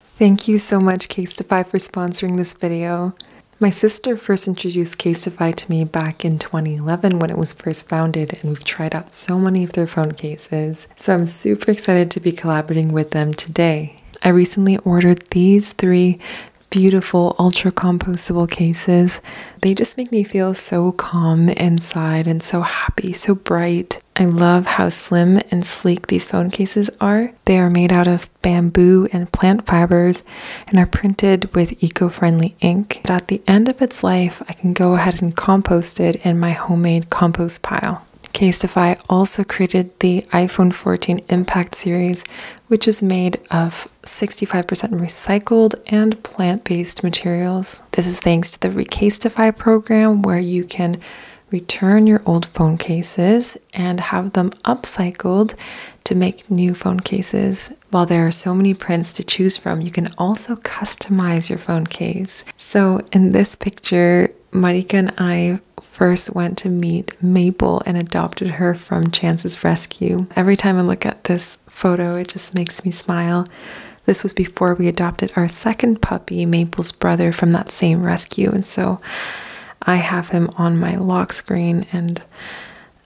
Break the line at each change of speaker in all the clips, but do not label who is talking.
Thank you so much, Casetify, for sponsoring this video. My sister first introduced Casetify to me back in 2011 when it was first founded, and we've tried out so many of their phone cases, so I'm super excited to be collaborating with them today. I recently ordered these three beautiful ultra compostable cases. They just make me feel so calm inside and so happy, so bright. I love how slim and sleek these phone cases are. They are made out of bamboo and plant fibers and are printed with eco friendly ink. But at the end of its life, I can go ahead and compost it in my homemade compost pile. Casetify also created the iPhone 14 Impact series, which is made of 65% recycled and plant based materials. This is thanks to the Recasetify program, where you can return your old phone cases and have them upcycled to make new phone cases. While there are so many prints to choose from, you can also customize your phone case. So in this picture, Marika and I first went to meet Maple and adopted her from Chance's rescue. Every time I look at this photo, it just makes me smile. This was before we adopted our second puppy, Maple's brother, from that same rescue. And so I have him on my lock screen, and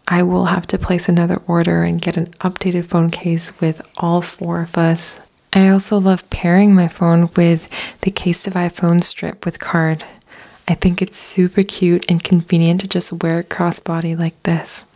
I will have to place another order and get an updated phone case with all four of us. I also love pairing my phone with the Case of iPhone strip with card. I think it's super cute and convenient to just wear it crossbody like this.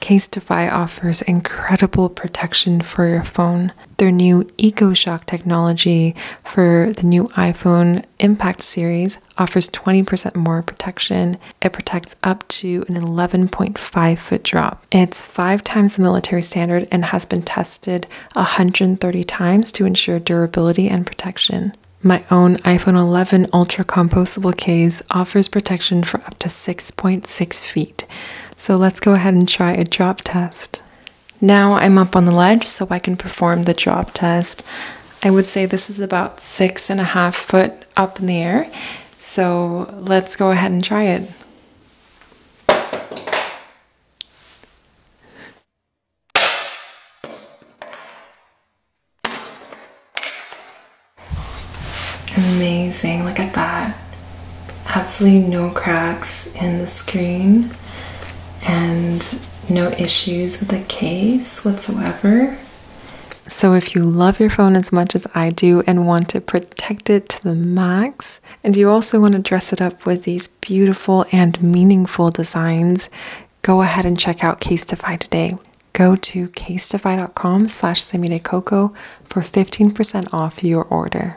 Case Defy offers incredible protection for your phone. Their new new EcoShock technology for the new iPhone Impact series offers 20% more protection. It protects up to an 11.5 foot drop. It's five times the military standard and has been tested 130 times to ensure durability and protection. My own iPhone 11 Ultra Compostable Case offers protection for up to 6.6 feet. So let's go ahead and try a drop test. Now I'm up on the ledge so I can perform the drop test. I would say this is about six and a half foot up in the air. So let's go ahead and try it. Amazing, look at that. Absolutely no cracks in the screen and no issues with the case whatsoever. So, if you love your phone as much as I do and want to protect it to the max, and you also want to dress it up with these beautiful and meaningful designs, go ahead and check out Casetify today. Go to casetify.com slash semidecoco for 15% off your order.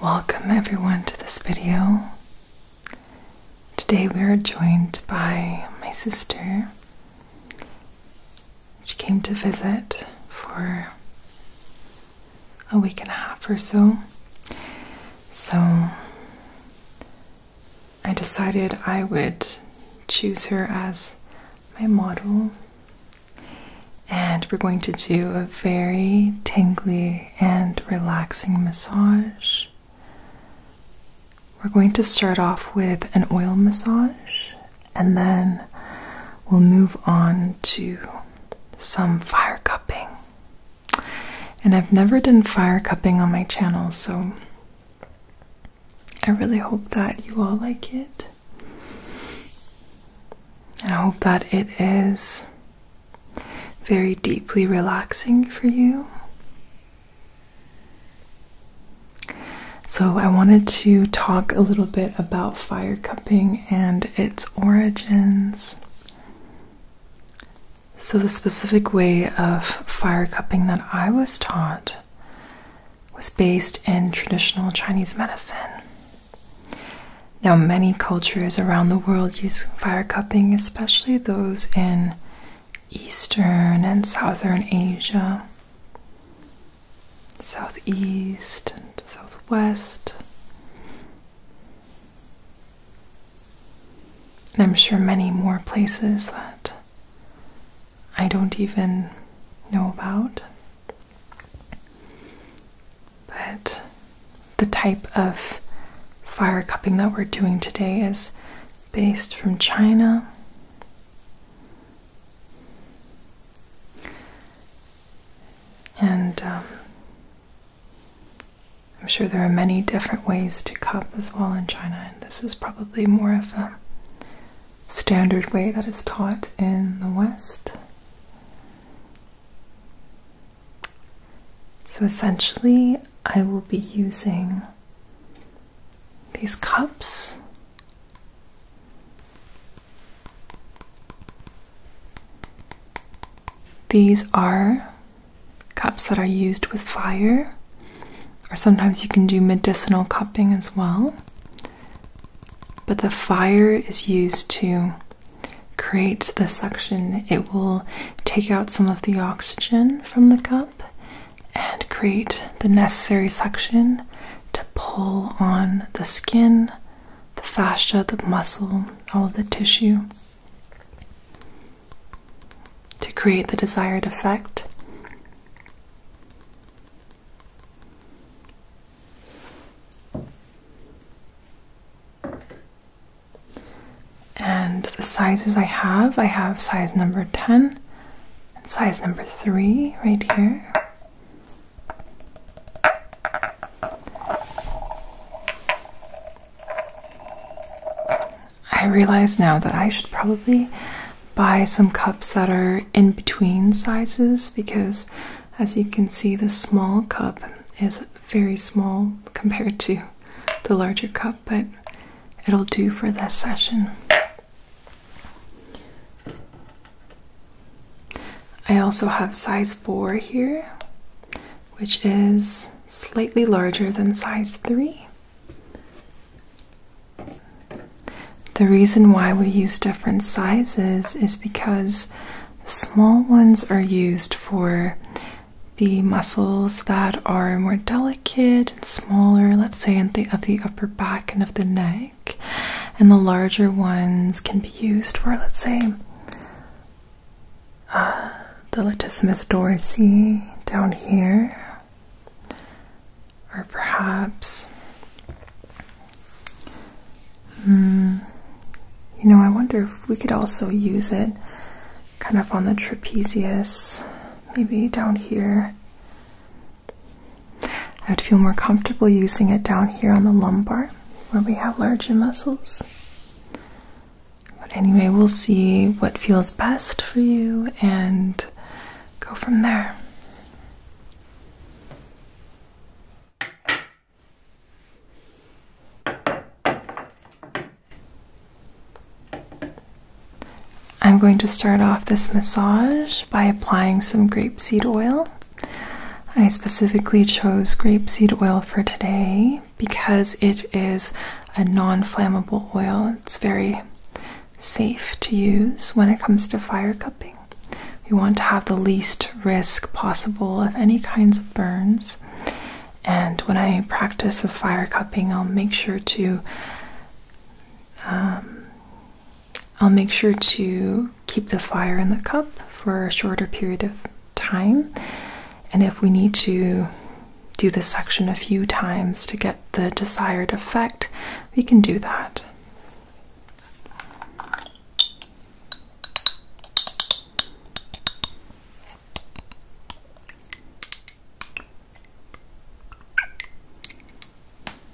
Welcome everyone to this video. Today we are joined by my sister she came to visit for a week and a half or so. So I decided I would choose her as my model. And we're going to do a very tingly and relaxing massage. We're going to start off with an oil massage and then we'll move on to some fire cupping. And I've never done fire cupping on my channel, so I really hope that you all like it. And I hope that it is very deeply relaxing for you. So, I wanted to talk a little bit about fire cupping and its origins. So, the specific way of fire cupping that I was taught was based in traditional Chinese medicine. Now, many cultures around the world use fire cupping, especially those in Eastern and Southern Asia southeast and southwest. And I'm sure many more places that I don't even know about. But the type of fire cupping that we're doing today is based from China and um, I'm sure there are many different ways to cup as well in China, and this is probably more of a standard way that is taught in the West. So essentially, I will be using these cups these are cups that are used with fire, or sometimes you can do medicinal cupping as well. But the fire is used to create the suction, it will take out some of the oxygen from the cup and create the necessary suction to pull on the skin, the fascia, the muscle, all of the tissue to create the desired effect. And the sizes I have, I have size number 10 and size number 3 right here. I realize now that I should probably buy some cups that are in between sizes because, as you can see, the small cup is very small compared to the larger cup, but it'll do for this session. I also have size 4 here, which is slightly larger than size 3. The reason why we use different sizes is because small ones are used for the muscles that are more delicate and smaller, let's say, the, of the upper back and of the neck and the larger ones can be used for, let's say, uh, the latissimus dorsi down here, or perhaps. Hmm, you know, I wonder if we could also use it kind of on the trapezius, maybe down here. I would feel more comfortable using it down here on the lumbar where we have larger muscles. But anyway, we'll see what feels best for you and go from there. I'm going to start off this massage by applying some grapeseed oil. I specifically chose grapeseed oil for today because it is a non flammable oil. It's very safe to use when it comes to fire cupping. We want to have the least risk possible of any kinds of burns. And when I practice this fire cupping, I'll make sure to um, I'll make sure to keep the fire in the cup for a shorter period of time. And if we need to do this section a few times to get the desired effect, we can do that.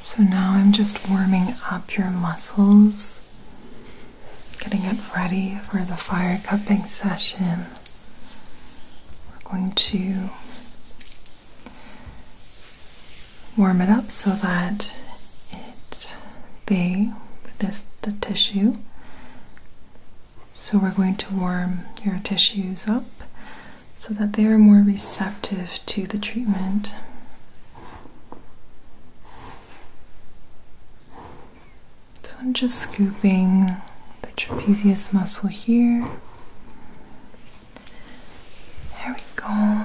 So now I'm just warming up your muscles, getting it ready for the fire cupping session. We're going to warm it up so that it, they, this, the tissue so we're going to warm your tissues up so that they are more receptive to the treatment. So I'm just scooping the trapezius muscle here. There we go.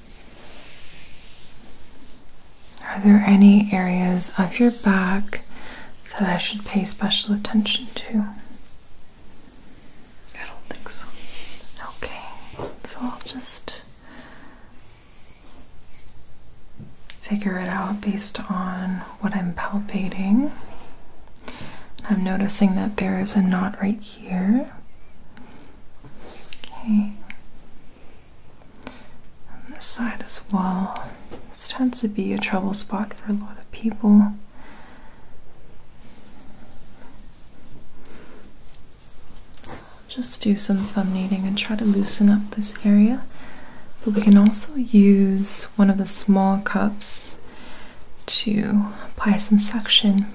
Are there any areas of your back that I should pay special attention to? I don't think so. Okay, so I'll just figure it out based on what I'm palpating. I'm noticing that there is a knot right here. Okay. On this side as well. This tends to be a trouble spot for a lot of people. Just do some thumb kneading and try to loosen up this area. But we can also use one of the small cups to apply some suction.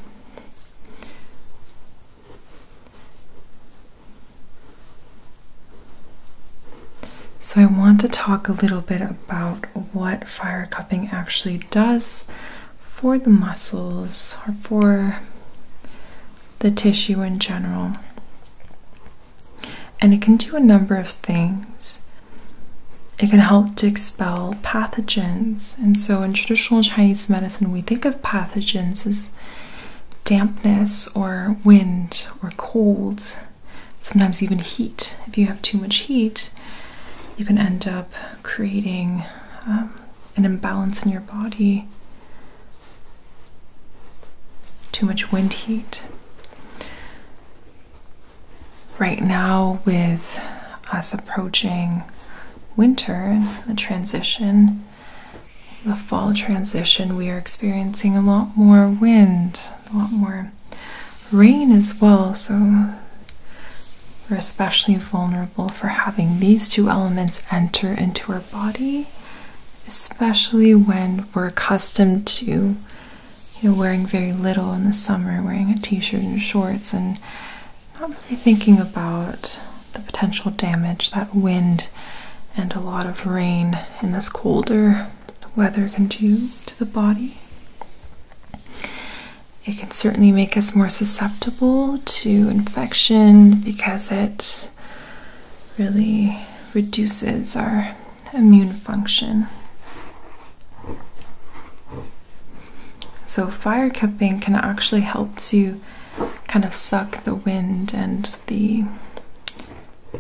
So, I want to talk a little bit about what fire cupping actually does for the muscles or for the tissue in general. And it can do a number of things. It can help to expel pathogens. And so, in traditional Chinese medicine, we think of pathogens as dampness or wind or cold, sometimes even heat. If you have too much heat, you can end up creating um, an imbalance in your body. Too much wind heat. Right now, with us approaching winter, the transition, the fall transition, we are experiencing a lot more wind, a lot more rain as well. So we're especially vulnerable for having these two elements enter into our body, especially when we're accustomed to you know, wearing very little in the summer, wearing a t shirt and shorts, and not really thinking about the potential damage that wind and a lot of rain in this colder weather can do to the body. It can certainly make us more susceptible to infection because it really reduces our immune function. So, fire cupping can actually help to kind of suck the wind and the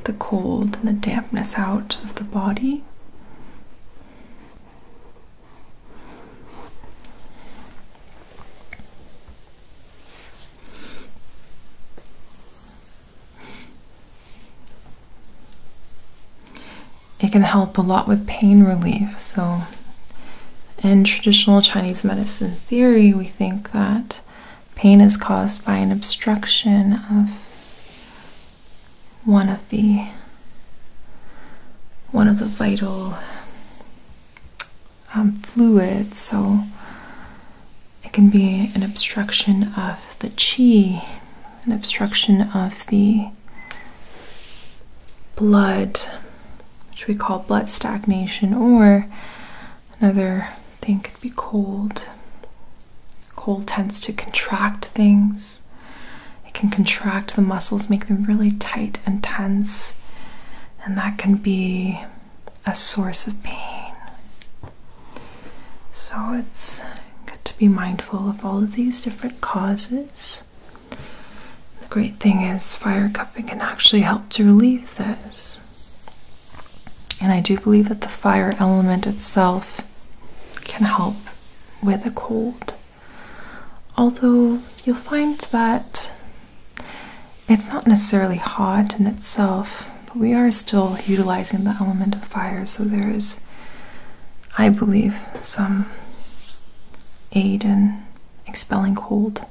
the cold and the dampness out of the body. It can help a lot with pain relief. So, in traditional Chinese medicine theory, we think that pain is caused by an obstruction of one of the one of the vital um, fluids so it can be an obstruction of the chi an obstruction of the blood which we call blood stagnation or Another thing could be cold. Cold tends to contract things. It can contract the muscles, make them really tight and tense, and that can be a source of pain. So it's good to be mindful of all of these different causes. The great thing is, fire cupping can actually help to relieve this. And I do believe that the fire element itself can help with a cold. Although you'll find that it's not necessarily hot in itself, we are still utilizing the element of fire, so there is, I believe, some aid in expelling cold.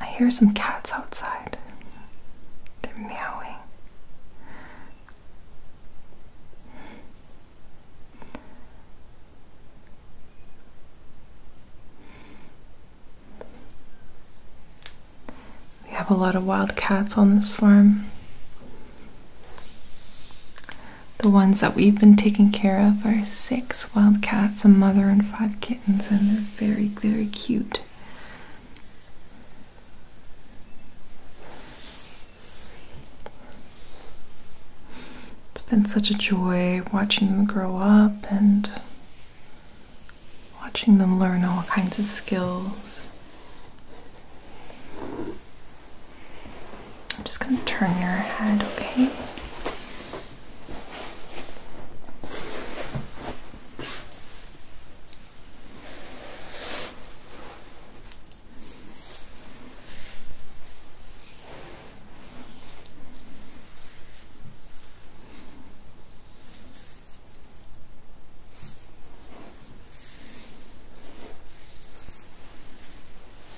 I hear some cats outside. They're meowing. We have a lot of wild cats on this farm. The ones that we've been taking care of are six wild cats, a mother, and five kittens, and they're very, very cute. It's been such a joy watching them grow up and watching them learn all kinds of skills. I'm just going to turn your head, okay?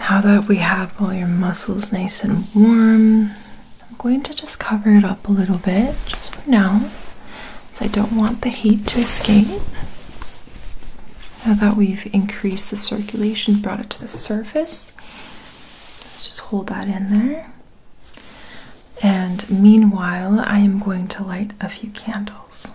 now that we have all your muscles nice and warm, I'm going to just cover it up a little bit just for now, as I don't want the heat to escape. Now that we've increased the circulation, brought it to the surface, let's just hold that in there. And meanwhile, I am going to light a few candles.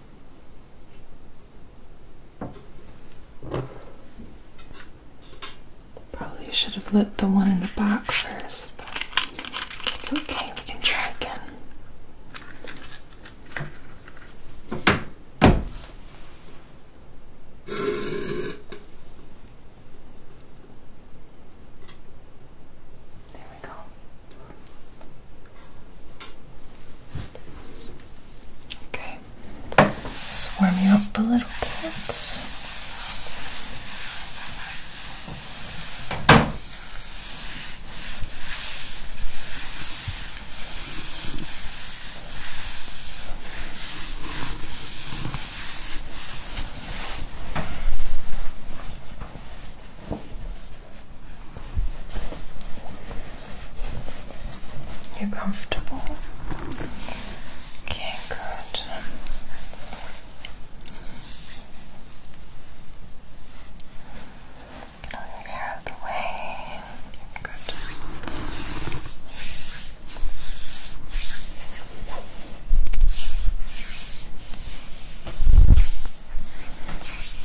Probably should have lit the one in the box first, but it's okay, we can try again. There we go. Okay, just warm you up a little bit. You're comfortable? Okay, good. Get all your hair out of the way. Good.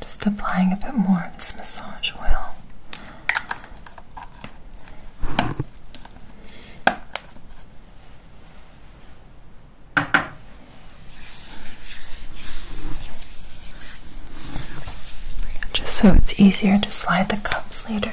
Just applying a bit more of this massage oil. Just so it's easier to slide the cups later.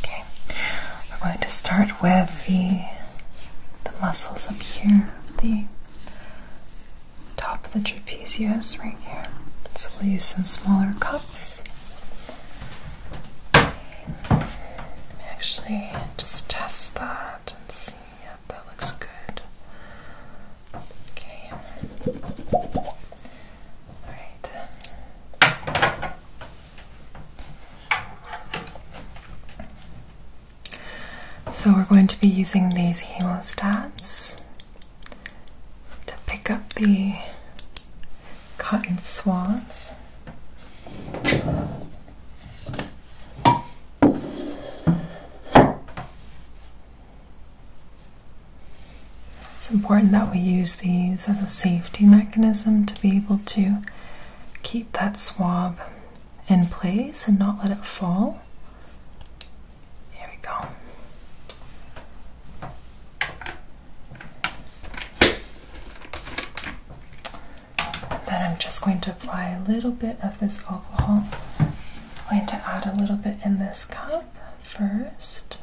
Okay, we're going to start with the the muscles up here, the top of the trapezius right here. So we'll use some smaller cups. Let me actually just test that and see. Yep, that looks good. Okay. All right. So we're going to be using these hemostats to pick up the cotton swabs. It's important that we use these as a safety mechanism to be able to keep that swab in place and not let it fall. Here we go. Then I'm just going to apply a little bit of this alcohol I'm going to add a little bit in this cup first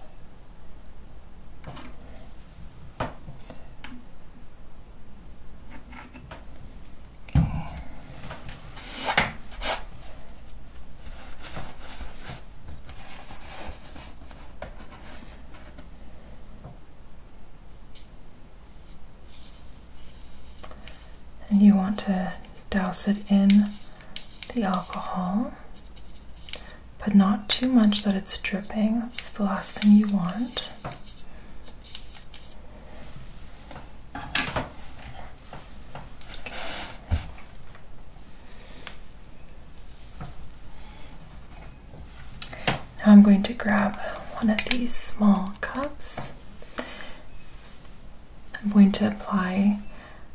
and you want to douse it in the alcohol, but not too much that it's dripping. That's the last thing you want. Now I'm going to grab one of these small cups I'm going to apply,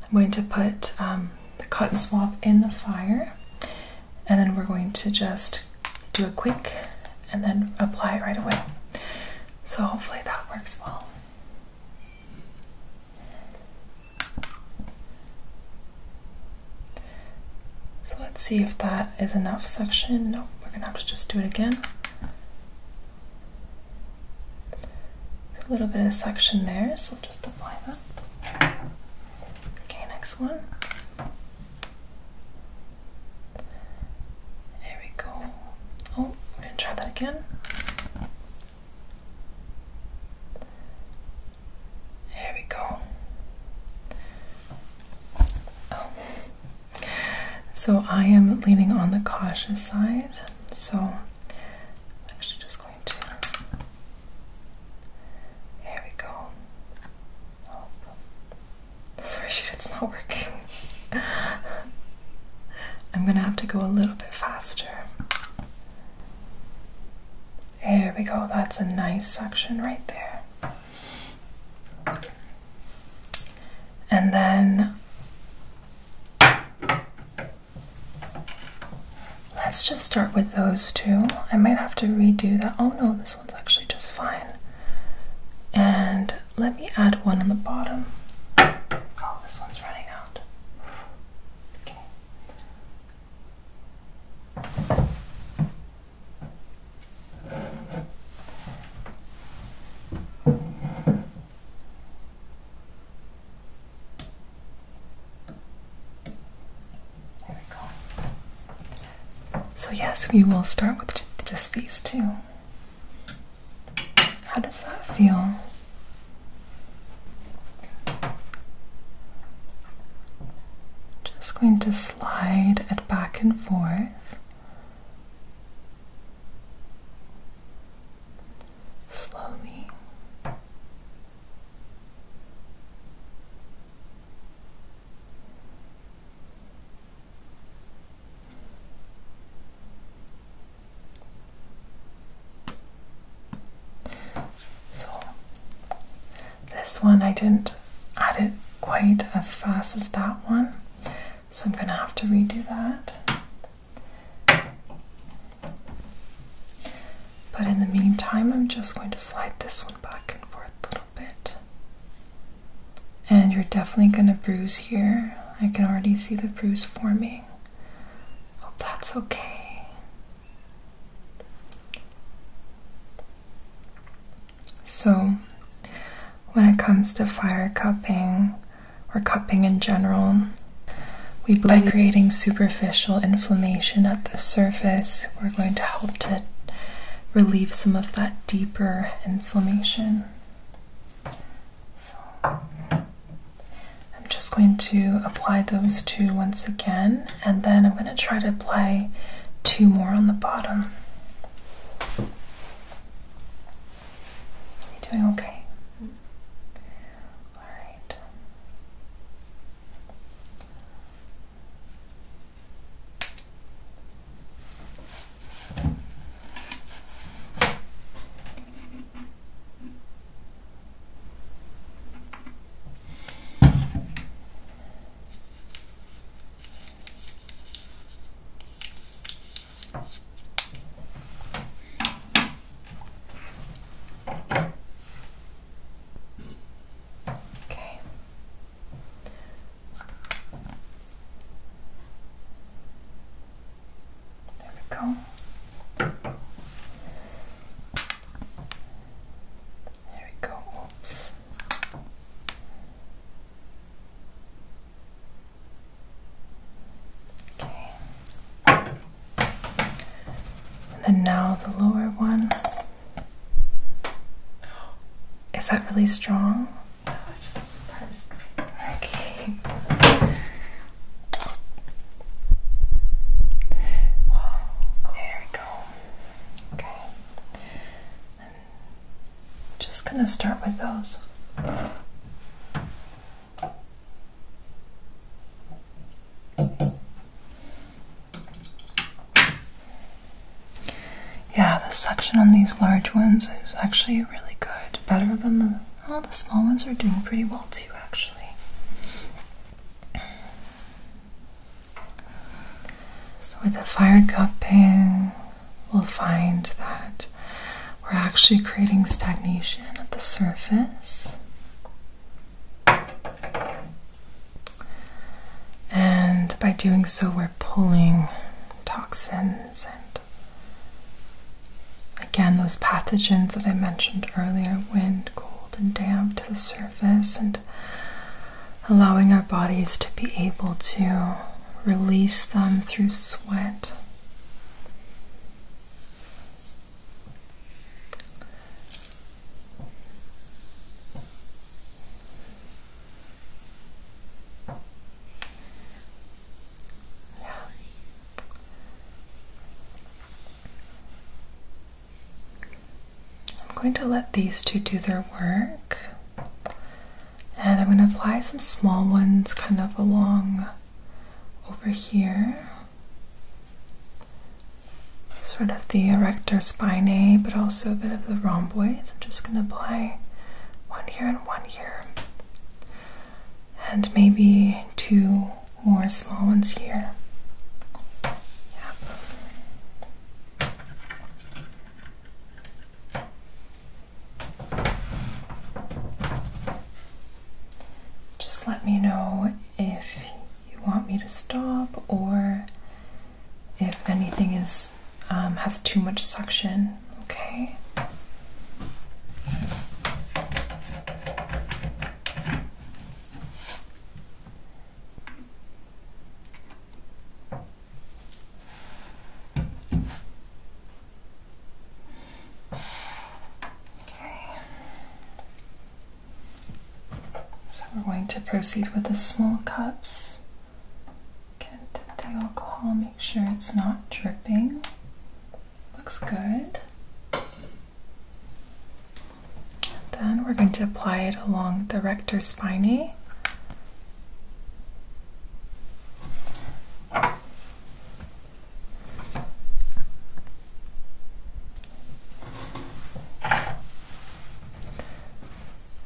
I'm going to put um, the cotton swab in the fire and then we're going to just do a quick and then apply it right away. So hopefully that works well. So let's see if that is enough suction. No, we're gonna have to just do it again a little bit of suction there, so just apply that. Okay, next one. There we go. Oh, I'm going to try that again. There we go. Oh. So I am leaning on the cautious side. So I'm actually just going to. Here we go. Oh, sorry, it's not working. I'm gonna have to go a little bit faster. There we go, that's a nice section right there. And then Let's just start with those two. I might have to redo that. Oh no, this one's actually just fine. And let me add one on the bottom. Oh, this one's running out. Okay. There we go. So, yes, we will start with just these two. How does that feel? Just going to slide it back and forth slowly. So, this one I didn't add it quite as fast as that one, so I'm going to have to redo that. But in the meantime, I'm just going to slide this one back and forth a little bit. And you're definitely going to bruise here. I can already see the bruise forming. Hope that's okay. So, when it comes to fire cupping, or cupping in general. by creating superficial inflammation at the surface, we're going to help to relieve some of that deeper inflammation. So I'm just going to apply those two once again, and then I'm going to try to apply two more on the bottom you doing okay. All right. Okay. Okay. There we go. There we go. Oops. Okay. And then now the lower one. Is that really strong? Okay. Wow. There we go. Okay. just gonna start with those. Yeah, the suction on these large ones is actually really good. Better than the all the small ones are doing pretty well too actually. So with the fire cupping, we'll find that we're actually creating stagnation at the surface. And by doing so, we're pulling toxins and again those pathogens that I mentioned earlier wind, cold, and damp to the surface, and allowing our bodies to be able to release them through sweat. I'm going to let these two do their work. And I'm going to apply some small ones kind of along over here. Sort of the erector spinae, but also a bit of the rhomboids. I'm just going to apply one here and one here. And maybe two more small ones here. Yep. Just let me know if you want me to stop or if anything is um, has too much suction, okay? Okay. So we're going to proceed with the small cups. Get the alcohol, make sure it's not dripping. Looks good. Then we're going to apply it along the rectus spinae.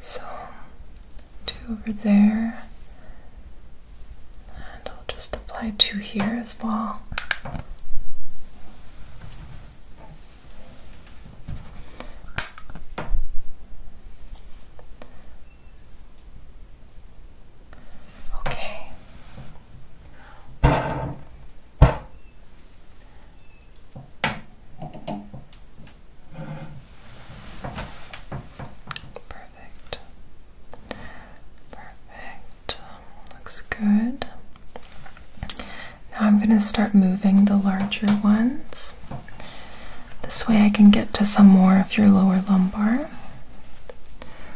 So, two over there, and I'll just apply two here as well. Okay. Perfect. Perfect. Looks good. Now I'm going to start moving the larger ones. This way I can get to some more of your lower lumbar.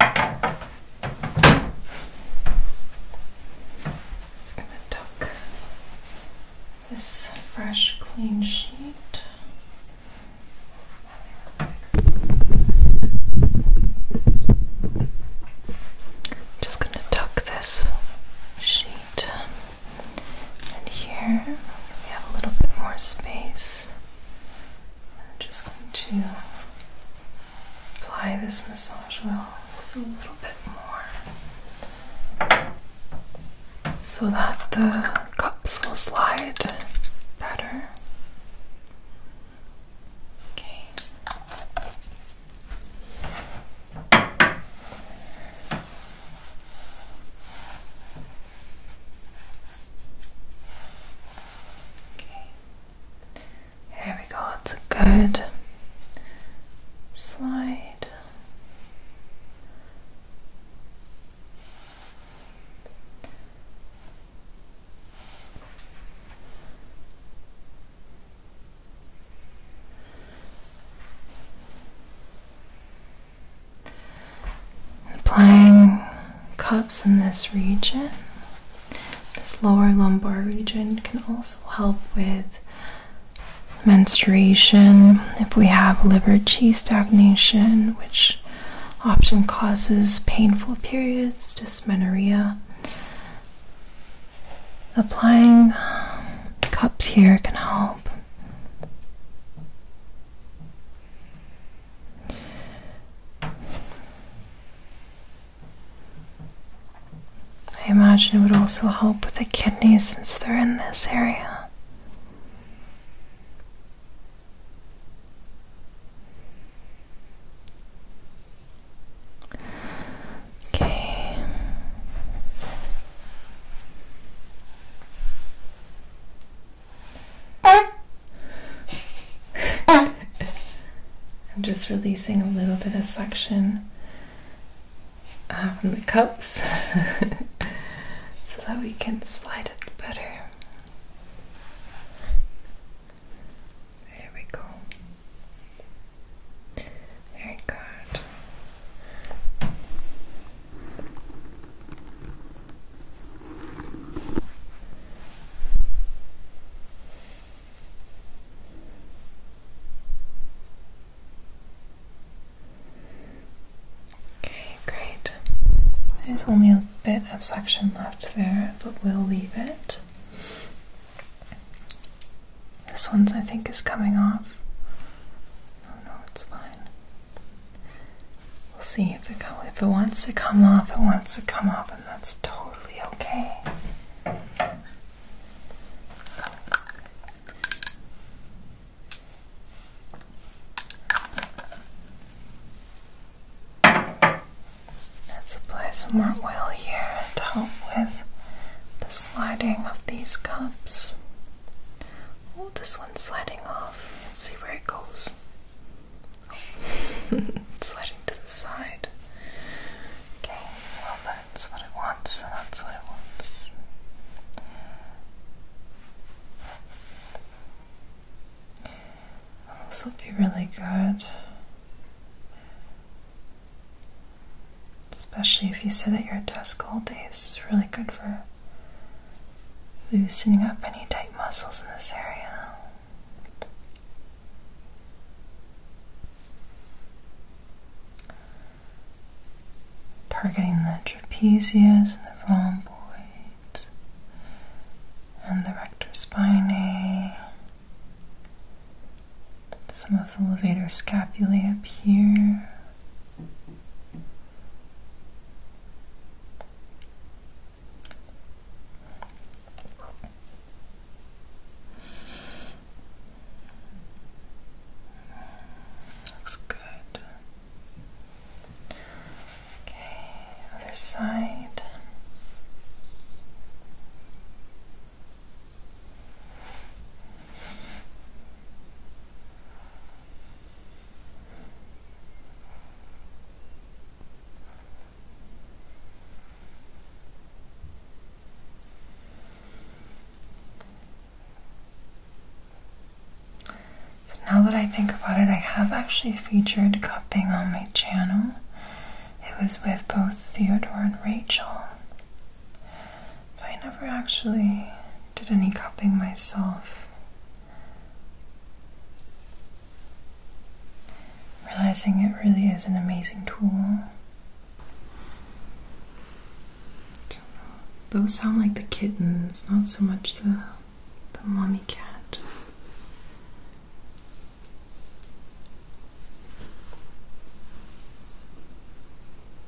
i going to tuck this fresh, clean sheet. just going to tuck this sheet and here we have a little bit more space. I'm just going to apply this massage oil a little bit more so that the cups will slide better. Okay. Okay. Here we go, it's a good slide. Applying cups in this region, this lower lumbar region, can also help with menstruation. If we have liver qi stagnation, which often causes painful periods, dysmenorrhea. Applying cups here can help I imagine it would also help with the kidneys since they're in this area. Okay. I'm just releasing a little bit of suction uh, from the cups so that we can slide it better. There we go. Very good. Okay, great. There's only a bit of suction left there, but we'll leave it. This one's, I think, is coming off. Oh no, it's fine. We'll see if it, if it wants to come off, it wants to come off, and that's totally okay. Let's apply some more oil here to help with the sliding of these cups. Oh, this one's sliding off. Let's see where it goes. sliding to the side. Okay, well, that's what it wants, and that's what it wants. this will be really good. Especially if you sit at your desk all day, this is really good for loosening up any tight muscles in this area. Targeting the trapezius and the rhomboids and the rectus spinae. Some of the levator scapulae up here. Looks good. Okay, other side. So now that I think about it, I have actually featured cupping on my channel. It was with both Theodore and Rachel. I never actually did any cupping myself. Realizing it really is an amazing tool. Those sound like the kittens, not so much the the mommy cat.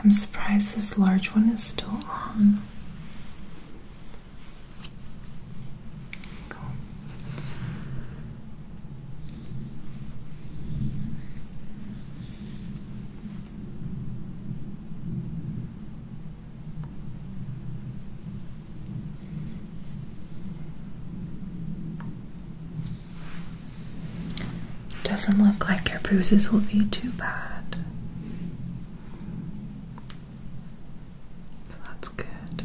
I'm surprised this large one is still on. Doesn't look like your bruises will be too bad. So that's good.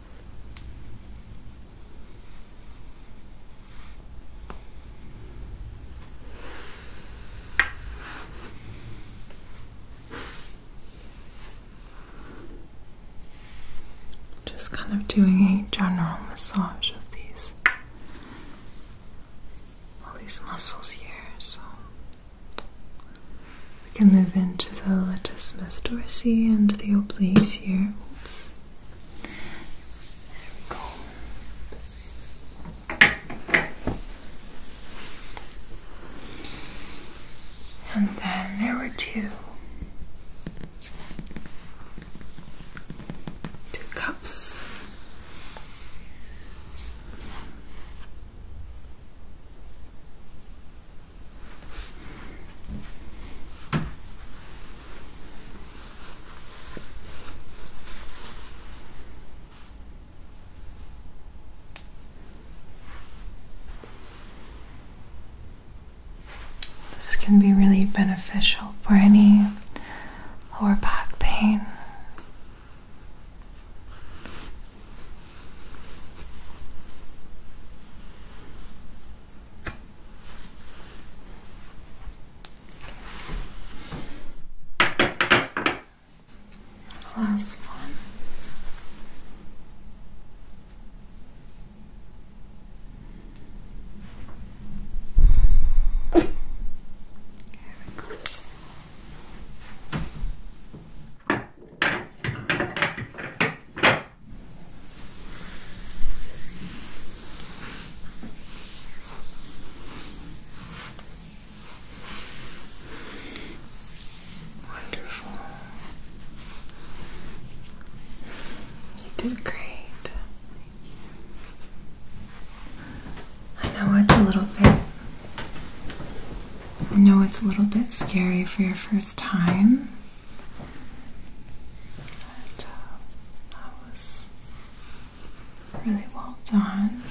Just kind of doing a general massage of these all these muscles here, so we can move into the latissimus dorsi and the obliques here. Oops. There we go. And then there were two two cups. This can be really beneficial for any lower back pain. Last one. Here we go. All Wonderful. You did great. I know it's a little bit I know it's a little bit scary for your first time. And that uh, was really well done.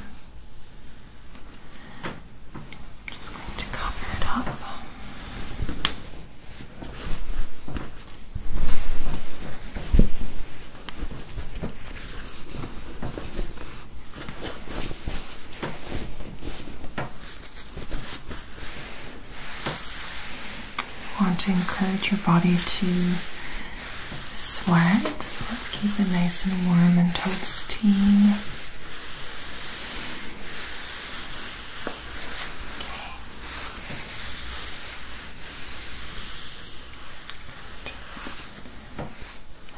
just going to cover it up want to encourage your body to sweat, so let's keep it nice and warm and toasty.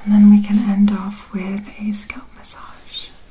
And then we can end off with a scalp massage.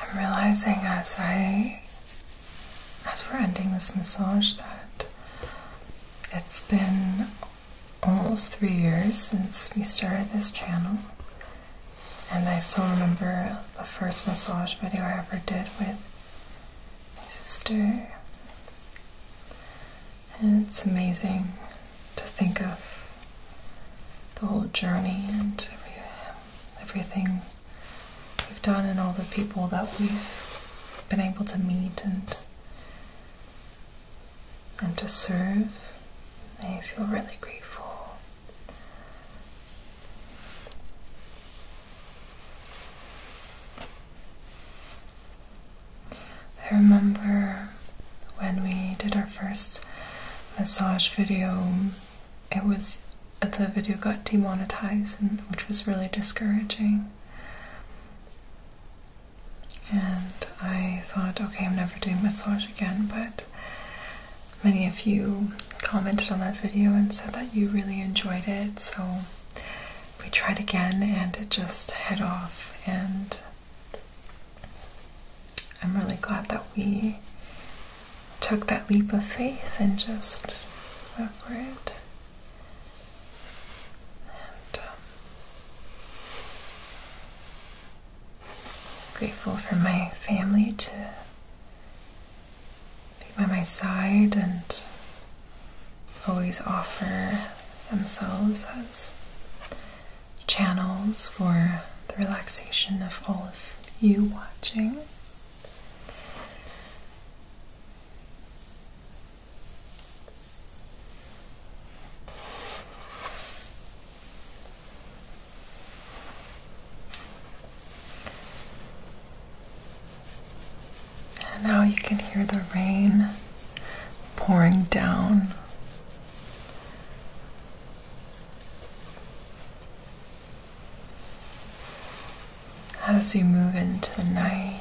I'm realizing as I as we're ending this massage that it's been almost three years since we started this channel and I still remember the first massage video I ever did with my sister and it's amazing to think of the whole journey and everything we've done and all the people that we've been able to meet and and to serve. I feel really grateful. I remember when we did our first massage video it was the video got demonetized, which was really discouraging. And I thought, okay, I'm never doing massage again. But many of you commented on that video and said that you really enjoyed it, so we tried again, and it just head off. And I'm really glad that we took that leap of faith and just went for it. Um, grateful for my family to be by my side and always offer themselves as channels for the relaxation of all of you watching now you can hear the rain pouring down as we move into the night,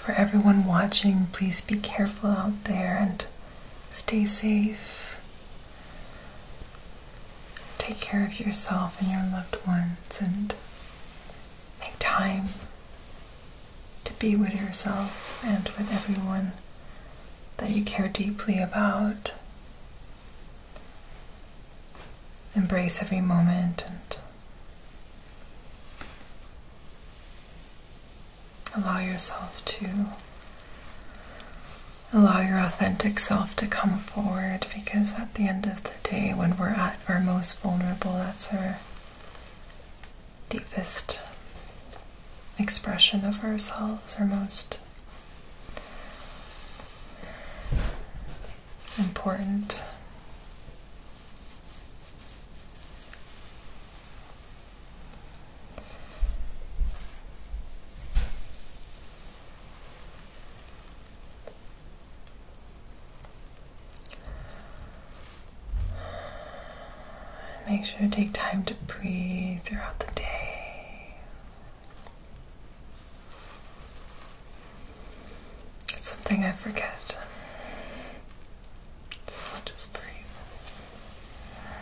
for everyone watching, please be careful out there and stay safe. Take care of yourself and your loved ones and make time to be with yourself and with everyone that you care deeply about. Embrace every moment and Allow yourself to allow your authentic self to come forward because at the end of the day, when we're at our most vulnerable, that's our deepest expression of ourselves, our most important Make sure to take time to breathe throughout the day. It's something I forget. Just breathe. Good.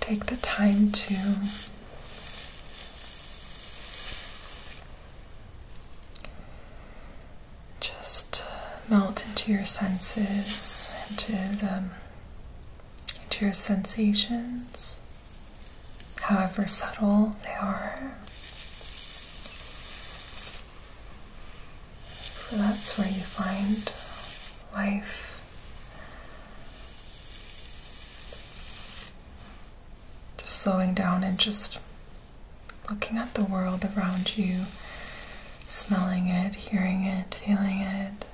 Take the time to just uh, melt into your senses, into the into your sensations, however subtle they are. For that's where you find life. Just slowing down and just looking at the world around you, smelling it, hearing it, feeling it.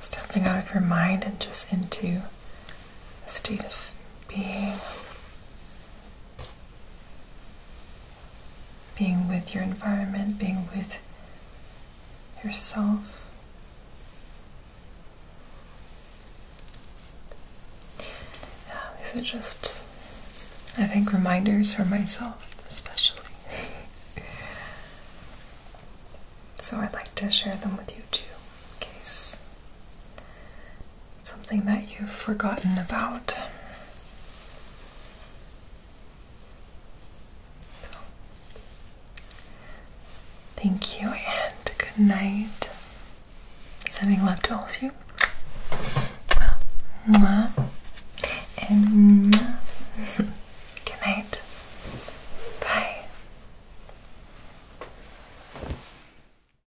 Stepping out of your mind and just into a state of being being with your environment, being with yourself. Yeah, these are just, I think, reminders for myself, especially. so I'd like to share them with you too, in case something that you've forgotten about. thank you and good night. Sending love to all of you. Mwah. And mwah. good night. Bye.